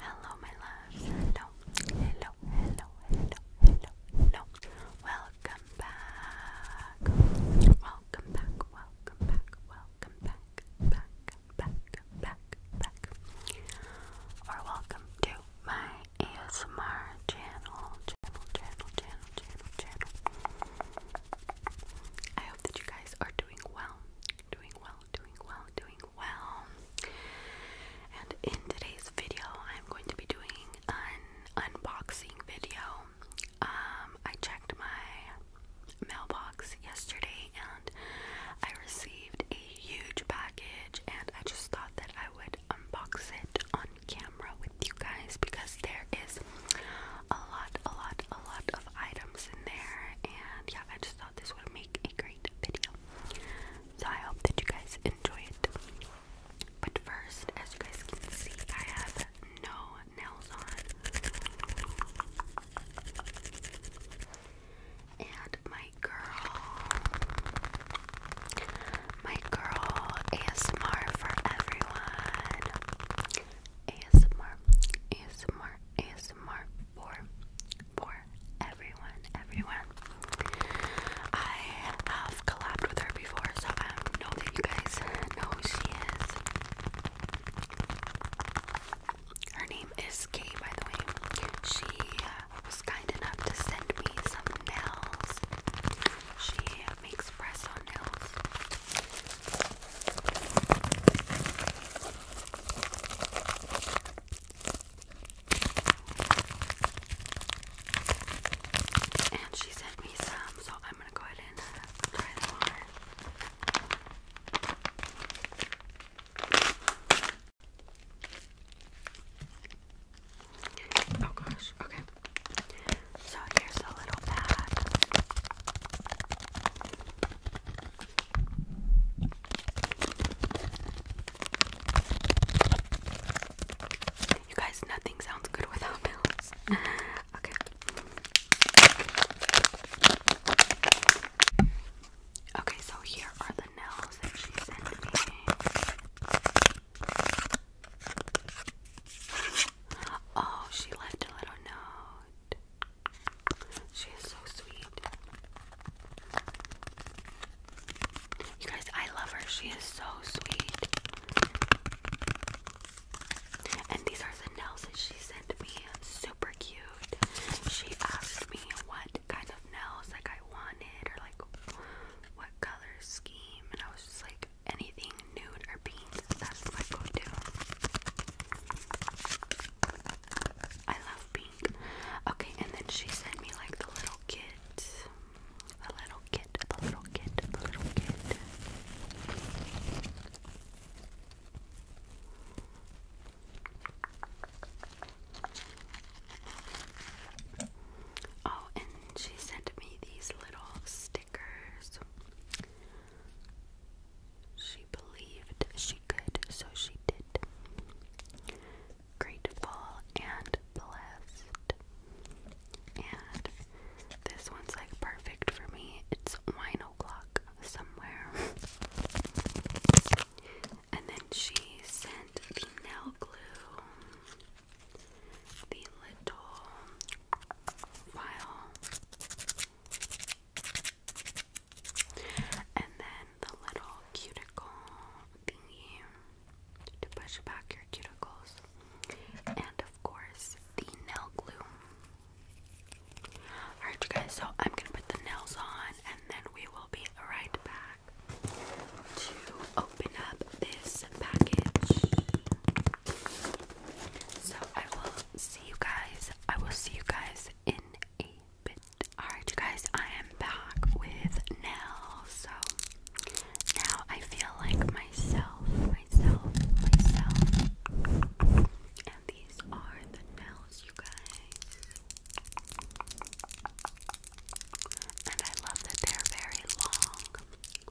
Hello, my love. Hello, hello, hello, hello, hello, hello. Welcome back. Welcome back. Welcome back. Welcome back. Back, back, back, back. Or welcome to my ASMR channel. Channel, channel, channel, channel, channel. I hope that you guys are doing well. Doing well, doing well, doing well. And in today's video, I'm going to be doing an unboxing video. Um, I checked my mailbox yesterday and I received a huge package, and I just thought that I would unbox it on camera with you guys because there is a lot, a lot, a lot of items in there. And yeah, I just thought this would make a great video. So I hope that you guys enjoy it. But first, as you guys can see, I have no nails on. And my girl, my girl, ASMR for everyone. ASMR, ASMR, ASMR, ASMR for for everyone, everyone. I have collabed with her before, so I know that you guys know who she is. Her name is Kay, by the way. She uh, was kind enough to send me some nails. She makes press on nails. And she sent me some, so I'm gonna go ahead and try them on Oh gosh, okay. So here's a little pad. You guys, nothing sounds good without pills. okay. Okay, so here are the nails that she sent me. Oh, she left a little note. She is so sweet. You guys, I love her. She is so sweet. And these are the nails that she sent me. Super cute. She asked me what kind of nails like I wanted or like what color scheme and I was just like anything nude or pink. That's my go-to. I love pink. Okay, and then she sent me like the little kit. The little kit, the little kit, the little kit. Oh, and she sent me these little stickers. She believed she could, so she did. Grateful and blessed. And this one's like perfect for me. It's wine o'clock somewhere. and then she sent the nail glue, the little file, and then the little cuticle thingy to push back your cuticles. And of course, the nail glue. Alright, you guys, so I'm gonna put the nails on and then we will be right back to open up this package. So I will see you guys. I will see you guys in a bit. Alright, you guys, I am back with Nell. So now I feel like myself, myself, myself. And these are the nails, you guys. And I love that they're very long. So,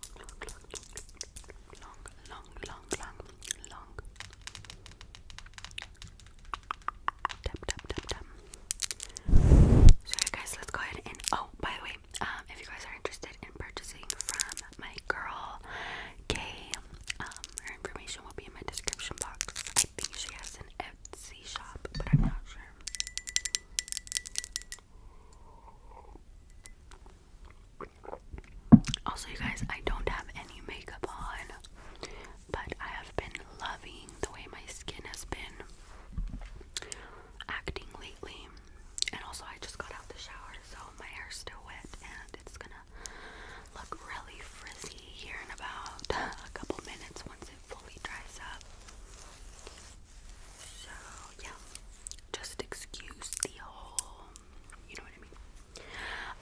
guys, let's go ahead and oh, by the way, um, if you guys are interested in purchasing from my girl Kay, um, her information will be in my description box. I think she has an Etsy shop, but I'm not sure. Also, you guys, I don't have any makeup on, but I have been loving the way my skin has been acting lately. And also, I just got out the shower, so my hair's still wet, and it's gonna look really frizzy here in about a couple minutes once it fully dries up. So, yeah, just excuse the whole you know what I mean?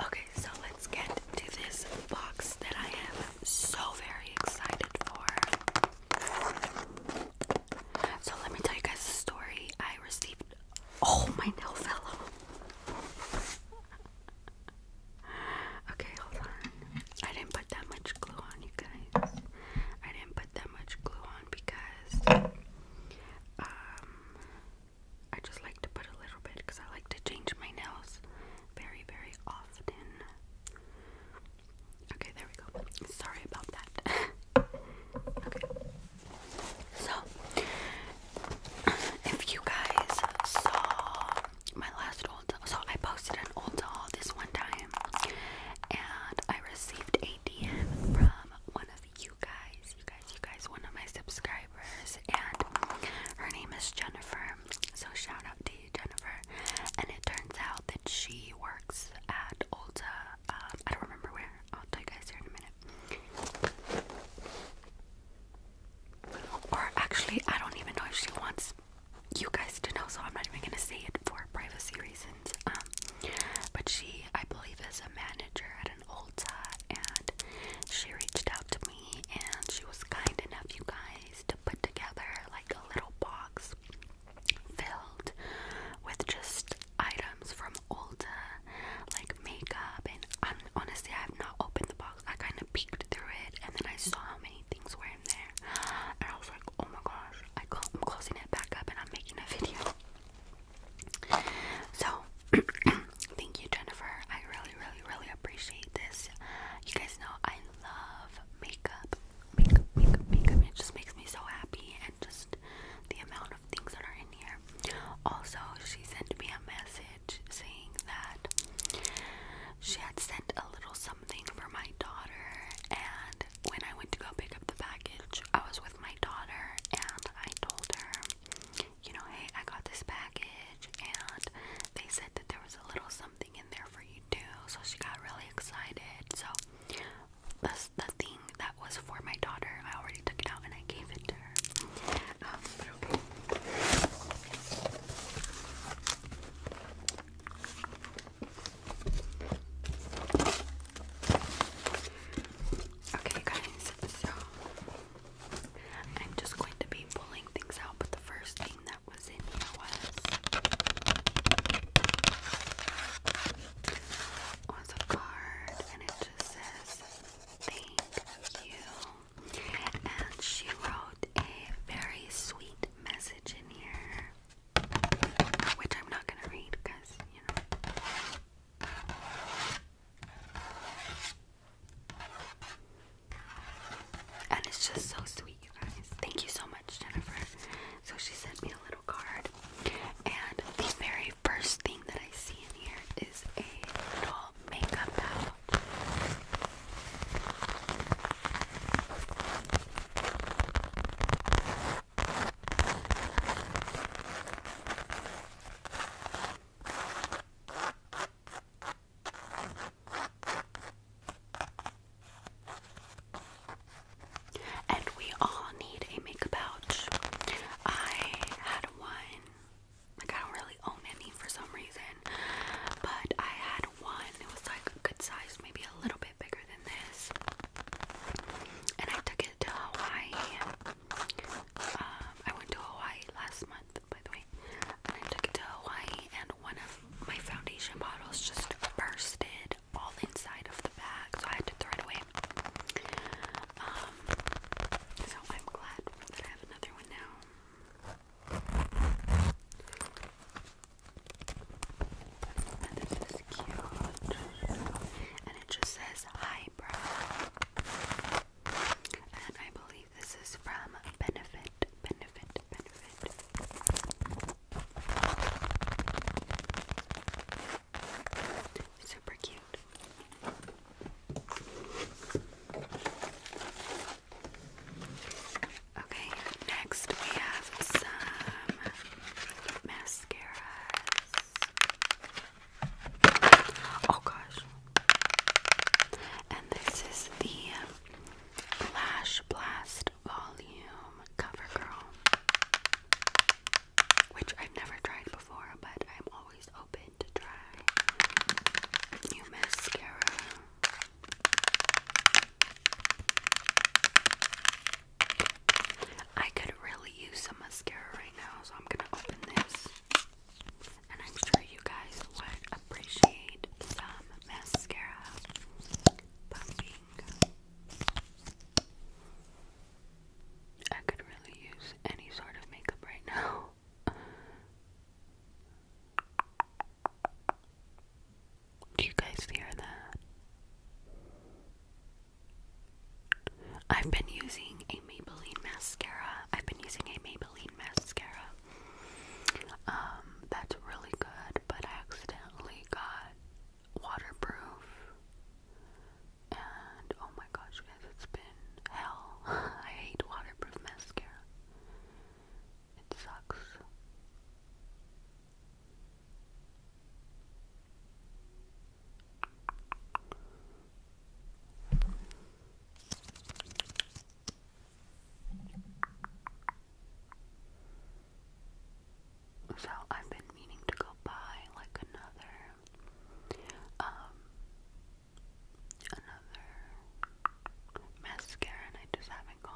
Okay, so let's get to this box that I am so very excited for. So let me tell you guys the story. I received. Oh, my nail fell okay, hold on. I didn't put that much glue on, you guys. I didn't put that much glue on because um, I just like to put a little bit because I like to change my nails very, very often. Okay, there we go. Sorry about that. okay. So, if you guys saw my last old, so I posted an old doll this one time, and I received a DM from one of you guys, you guys, you guys, one of my subscribers, and her name is Jennifer. So shout out to you, Jennifer. And it turns out that she works at Ulta. Um, I don't remember where. I'll tell you guys here in a minute. Or actually, I don't even know if she wants you guys to know, so I'm not even gonna say it for privacy reasons. Um, but she, I believe, is a manager at an Ulta, and she reached out to me, and she was kind enough, you guys, to put together like a little box filled with just items from Ulta, like makeup, and honestly, I have not opened the box. I kind of peeked through it, and then I saw how many things were in there, and I was like, oh my gosh, I I'm closing it back up, and I'm making a video. So, thank you, Jennifer. I really, really, really appreciate this. You guys know I love makeup. Makeup, makeup, makeup. It just makes me so happy and just the amount of things that are in here. Also, she sent me a message saying that she had sent a little something for my daughter and when I went to go pick up the package, I was with my daughter and I told her, you know, hey, I got this package and they said that there was a little something in there for you too. So she got really excited. So the, the thing that was for my daughter, I already took it out and I gave it to her. Um, but okay. Okay, guys, so I'm just going to be pulling things out, but the first thing that was in here was was a card, and it just says thank you. And she wrote a very sweet message in here which I'm not gonna read because, you know. And it's just so sweet, you guys. Thank you so much, Jennifer. So she sent me a little card. And the very first thing that I see in here is a little makeup palette. And we all need a makeup pouch. I had one, like, I don't really own any for some reason, but I had one. It was like a good size, maybe a little bit bigger than this. And I took it to Hawaii. Um, I went to Hawaii last month, by the way. And I took it to Hawaii, and one of my foundation bottles just bursted all inside of the bag, so I had to throw it away. Um, so I'm glad that I have another one now. And this is cute. And it just says highbrow. And I believe this is from Benefit. Benefit. Benefit. Super cute. Okay, next we have some mascaras. Oh gosh. And this is the Lash Blast Volume CoverGirl, which I've never tried before, but I'm always open to try new mascara. I could really use some mascara right now, so I'm gonna open this. And I'm sure you guys would appreciate some mascara pumping. I could really use any sort of makeup right now. Do you guys hear that? I've been using a Maybelline mascara. I've been using a Maybelline mascara. Um, that's really good, but I accidentally got waterproof. And oh my gosh, guys, it's been hell. I hate waterproof mascara. It sucks. So I've been meaning to go buy like another um another mascara and I just haven't gone.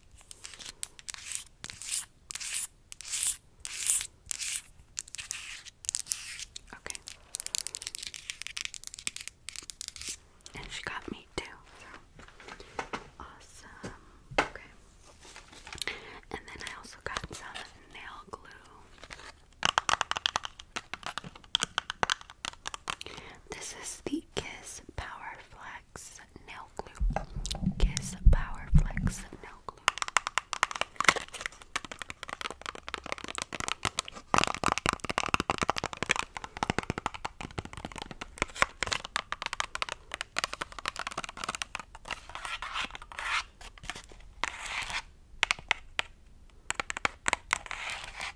Okay. And she got me too. So awesome. Okay. And then I also got some nail glue. This is the Kiss Power Flash Flex Nail Glue. Kiss Power Flex Nail Glue.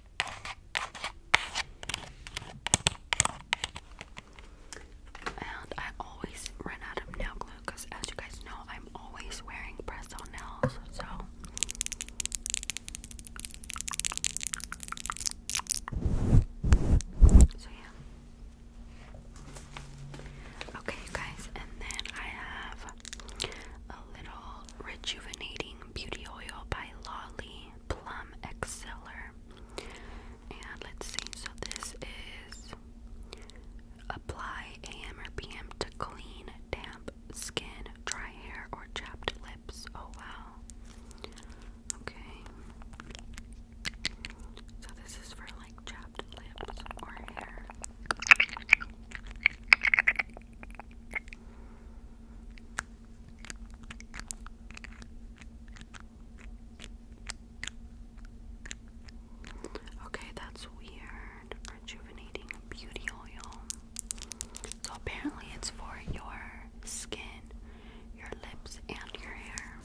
And I always run out of nail glue because, as you guys know, I'm always wearing press on nails. So, so yeah. Okay, you guys, and then I have a little rejuvenating beauty oil by Lolly. Plum Exceller. And let's see, so this is apply AM or PM to clean, damp skin, dry hair, or chapped lips. Oh wow. Okay. So this is for like chapped lips or hair. Okay, that's weird. Rejuvenating beauty oil. So apparently it's for your skin, your lips, and your hair.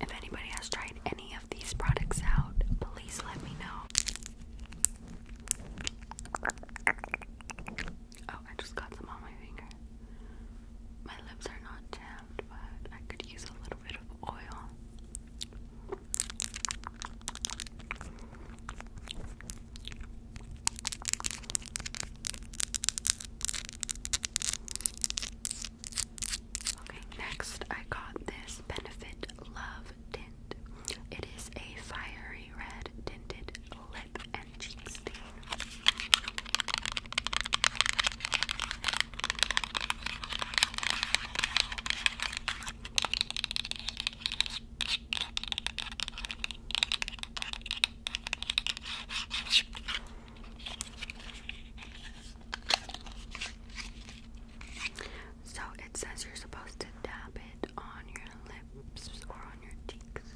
If anybody has tried any of these products out, please let me know. Oh, I just got some on my finger. My lips are not jammed, but I could use a little bit of oil. Okay, next I got this Benefit Love Tint. It is a fiery red tinted lip and cheek stain. So it says you're supposed to dab it on your lips or on your cheeks.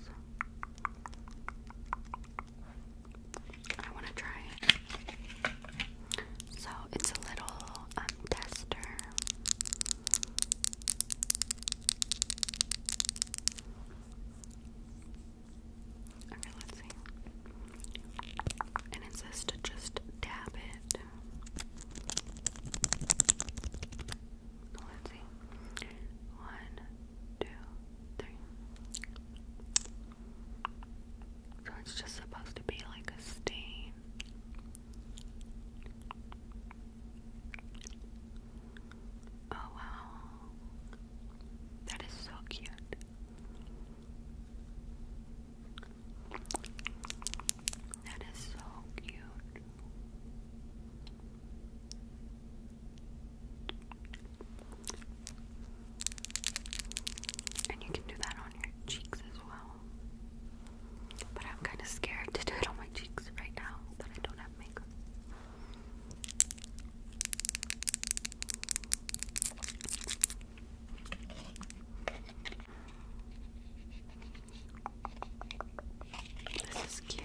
I want to try it. So it's a little um, tester. Okay, let's see. And it says to just dab it. Let's see. One, two, three. So it's just supposed to be like a stain. Oh wow. That is so cute. That is so cute. And you can do that on your cheeks as well. But I'm kind of scared to do it on my cheeks right now that I don't have makeup. This is cute.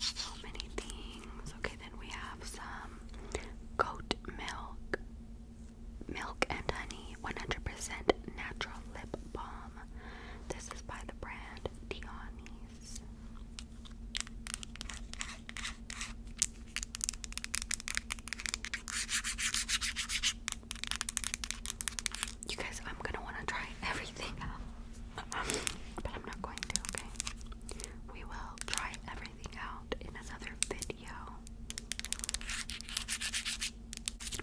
So many things. Okay, then we have some goat milk, milk and honey, 100% natural lip balm. This is by the brand Dionys. You guys, I'm gonna want to try everything but I'm not going to, okay? We will try everything out in another video.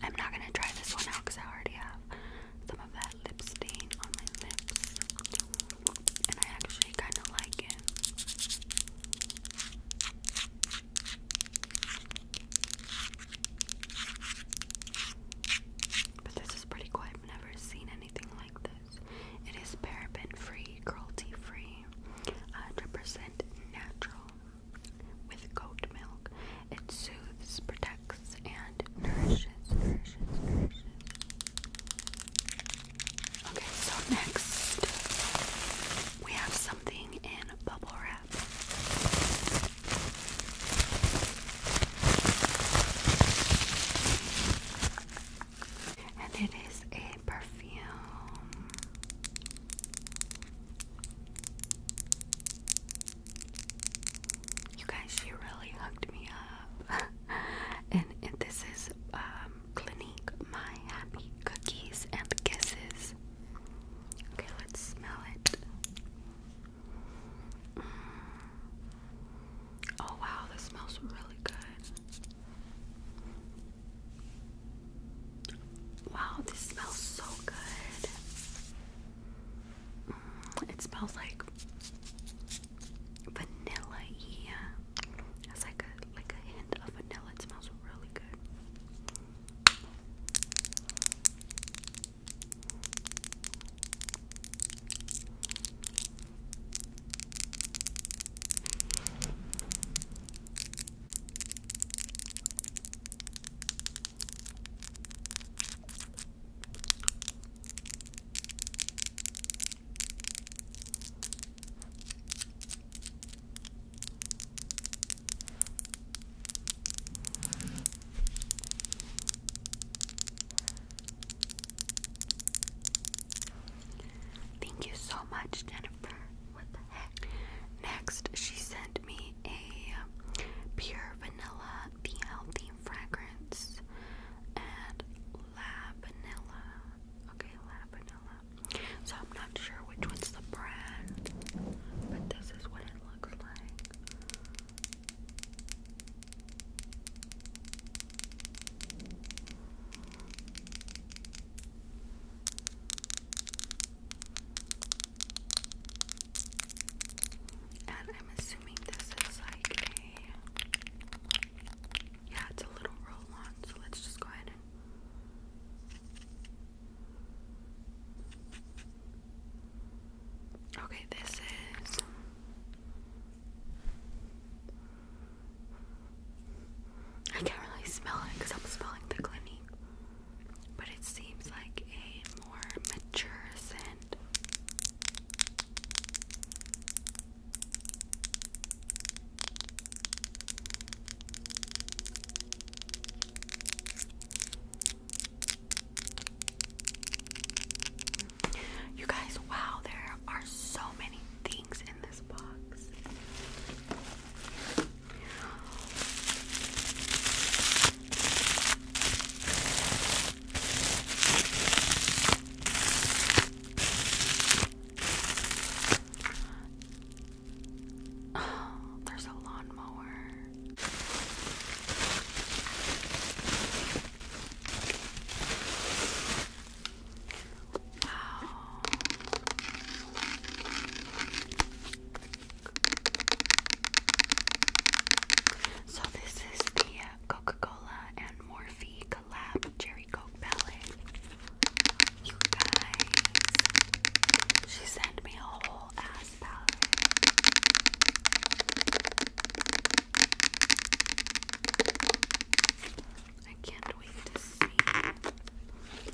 I'm not gonna try this one out because I already have some of that lip stain on my lips, and I actually kind of like it. But this is pretty cool. I've never seen anything like this. It is paraben free, cruelty free, 100 natural with goat milk. It soothes, protects, and nourishes, nourishes, nourishes. Okay, so next we have something in bubble wrap. And it is a perfume. You guys, she really hooked me up. and, this is um, Clinique My Happy Cookies and Kisses. Okay, let's smell it. Mm. Oh wow, this smells really good. Wow, this smells so good. Mm, it smells like vanilla. Yeah, it's like a like a hint of vanilla. It smells really good. Thank you so much, Jennifer, Next, she sent me a pure vanilla, the healthy fragrance, and La Vanilla. Okay, La Vanilla. So I'm not sure which one's the brand, but this is what it looks like. And I'm assuming this is like a yeah, it's a little roll on, so let's just go ahead Okay, this is I can't really smell it because I'm smelling the Clinique but it seems like a more mature scent. You guys, wow, there are so many things in this box. Oh, there's a lawnmower. So this is the Coca-Cola and Morphe collab Cherry Coke palette. You guys, she sent me a whole ass palette. I can't wait to see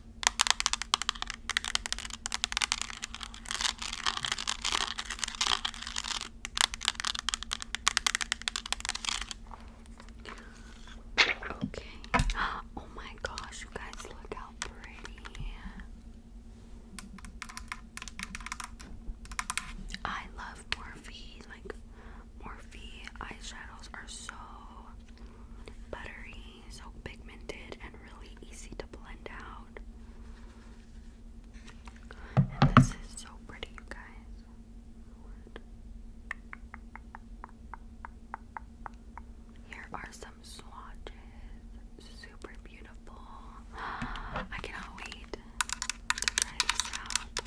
Okay. Oh my gosh, you guys look how pretty. I love Morphe. Like Morphe eyeshadows are so buttery so pigmented and really easy to blend out. And this is so pretty, you guys. Here are some swatches. Super beautiful. I cannot wait to try this out.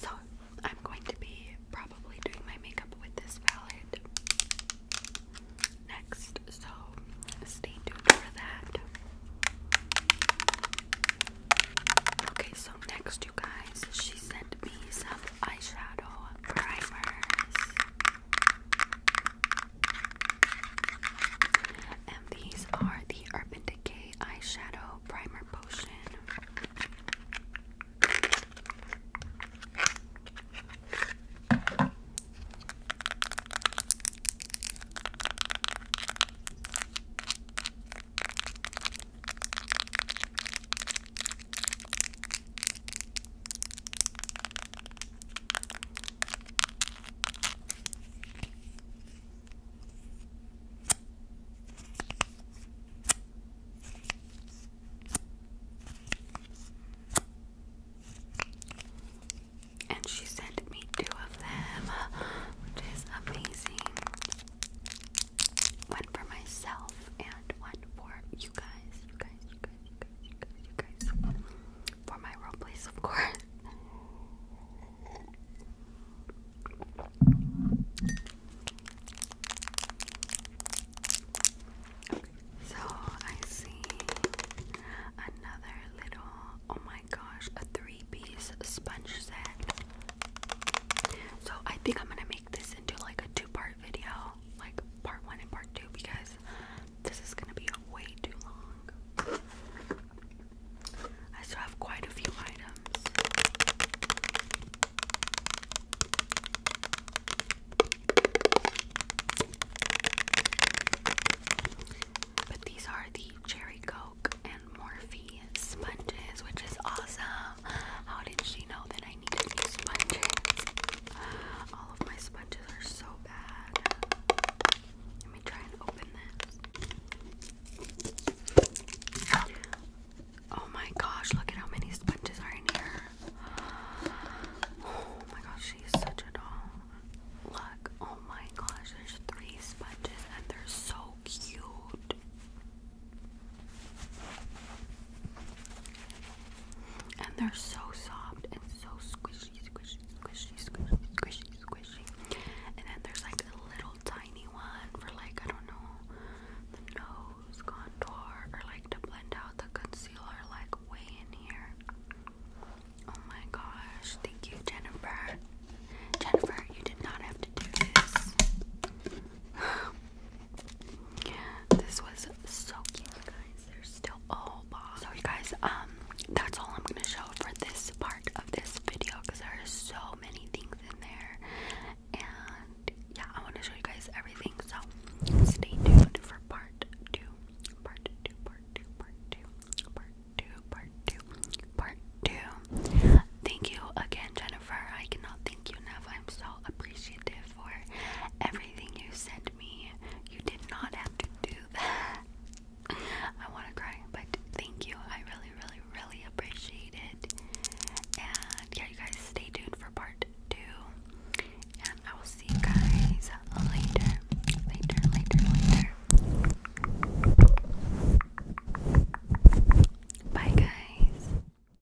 So, I'm going to be probably doing my makeup with this palette next, so stay tuned for that. Okay, so next, you guys, she sent me some eyeshadow primers. And these are the Urban Decay Eyeshadow Primer Potion. And she sent me two of them, which is amazing. One for myself and one for you guys. For my role plays, of course. so I see another little, oh my gosh, a three piece sponge set. So I think I'm gonna make this this into like a two part video, like part one and part two, because this is gonna be way too long. I still have quite a few items. But these are the Cherry Coke and Morphe sponges, which is awesome. How did she know that I needed new sponges? All of my sponges are so bad. Let me try and open this. Oh my gosh, look at how many sponges are in here. Oh my gosh, she's such a doll. Look, oh my gosh, there's three sponges and they're so cute. And they're so soft and so squishy, squishy, squishy, squishy, squishy, squishy. And then there's like a little tiny one for like, I don't know, the nose contour or like to blend out the concealer like way in here. Oh my gosh. Thank you, Jennifer. Jennifer, you did not have to do this. Oh this was so cute, you guys. They're still all box. So you guys, um, that's all I'm gonna show for this part of this video because there are so many things in there. And yeah, I want to show you guys everything. So stay tuned for part two. Part two, part two, part two, part two, part two, part two. Thank you again, Jennifer. I cannot thank you enough. I'm so appreciative for everything you sent me. You did not have to do that. I want to cry, but thank you. I really, really, really appreciate it. And yeah, you guys stay tuned for part two. And I will see you guys later. Later, later, later. Bye, guys.